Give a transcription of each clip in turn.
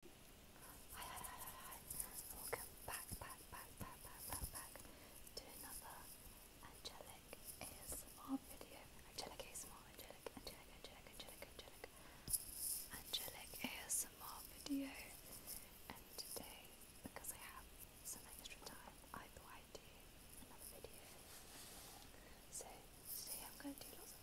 welcome back, back, back, back, back, back, back to another Angelic ASMR video. Angelic ASMR, Angelic, Angelic, Angelic, Angelic, Angelic, Angelic ASMR video. And today, because I have some extra time, I thought I'd do another video. So today I'm going to do lots of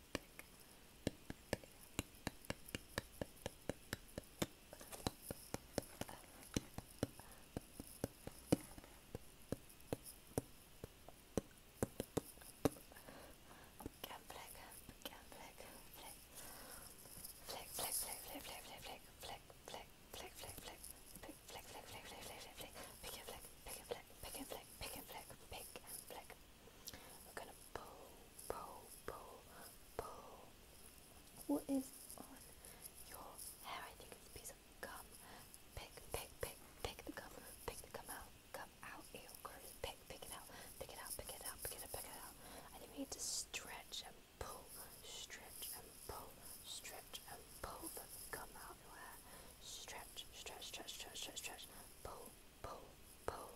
flick, pick and flick, pick and flick, pick and flick, pick and flick, pick and flick, pick and flick, we're gonna pull, pull, pull, pull. What is on your hair? I think it's a piece of gum. Pick, pick, pick, pick the gum, pick the gum out, gum out, ew, gross. Pick, pick it out, pick it out, pick it out, pick it out, pick it out. I think we need to stretch and pull, stretch and pull, stretch and pull the gum out of your hair. stretch, stretch, stretch, stretch, stretch. Pull, pull, pull,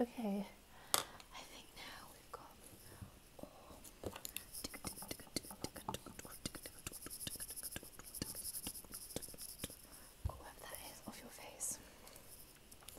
Okay, I think now we've got all. Grab that hair off your face.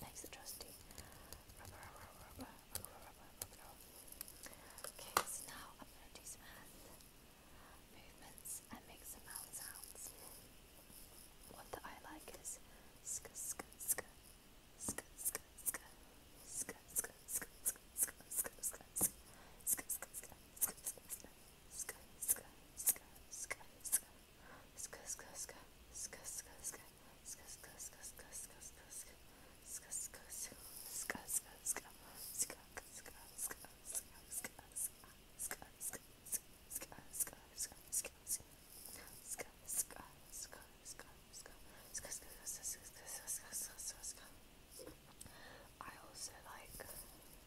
Thanks, the trusty. Okay, so now I'm going to do some hand movements and make some mouth sounds. One that I like is I also like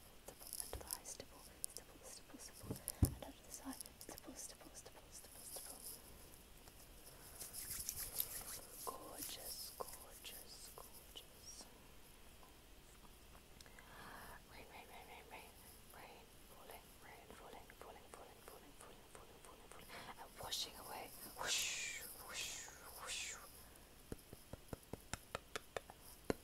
stipple, stipple, under the eye, stipple, stipple, stipple, stipple, and under this eye, stipple, stipple, stipple, stipple, stipple. Gorgeous, gorgeous, gorgeous. Rain, rain, rain, rain, rain, rain, falling, rain, falling, falling, falling, falling, falling, falling, falling, falling, and washing away. Whoosh, whoosh, whoosh.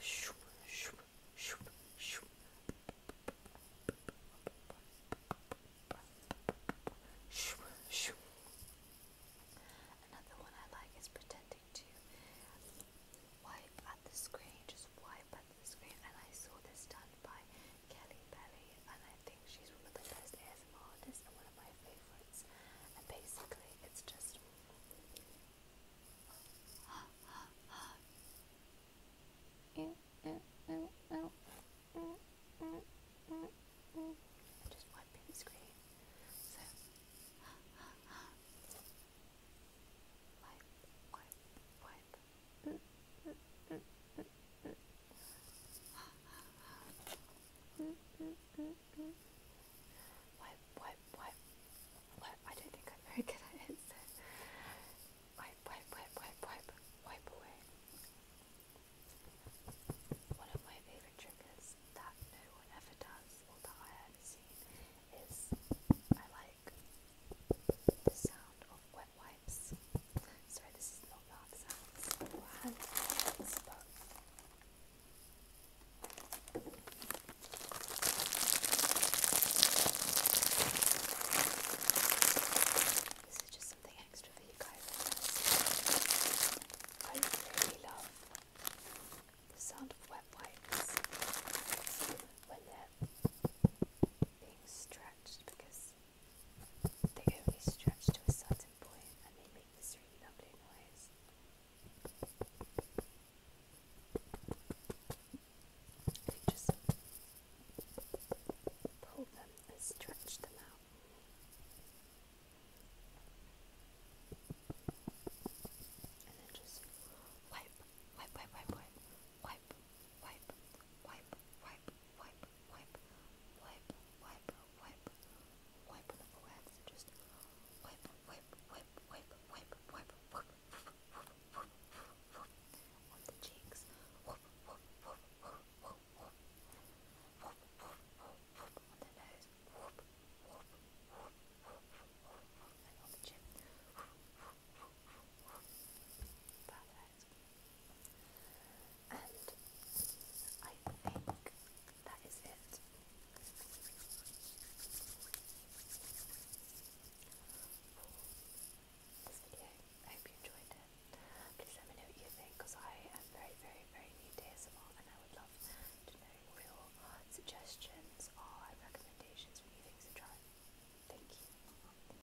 Shoo, shoo, shoo, shoo. Another one I like is pretending to wipe at the screen, just wipe at the screen. And I saw this done by Kelly Belly, and she's one of the best ASMR artists and one of my favorites. And basically, it's just. just wiping the screen. So. wipe, wipe, wipe. What, what, what, what? I don't think I'm very good at this. Wipe, wipe, wipe, wipe, wipe, wipe away. One of my favourite triggers that no one ever does or that I haven't seen is I like the sound of wet wipes types. Sorry, this is not laugh just something extra for you guys. I really love the sound of wet when they're being stretched because they only stretch to a certain point and they make this really lovely noise. If you just pull them and stretch them out. And then just wipe, wipe, wipe, wipe, wipe, wipe, wipe, wipe, wipe, wipe, wipe, wipe, wipe, wipe, wipe on the forehead. So just wipe, wipe, wipe, wipe, wipe, wipe, wipe, wipe, wipe, on the cheeks. Wipe, wipe, wipe, wipe, wipe, wipe, wipe, wipe, wipe on the nose. Wipe, wipe, wipe, wipe, wipe, wipe, and on the chin. Perfect. And I think that is it. For this video. I hope you enjoyed it. Please let me know what you think because I am very, very, very new to ASMR and I would love to know your suggestions or recommendations for new things to try. Thank you.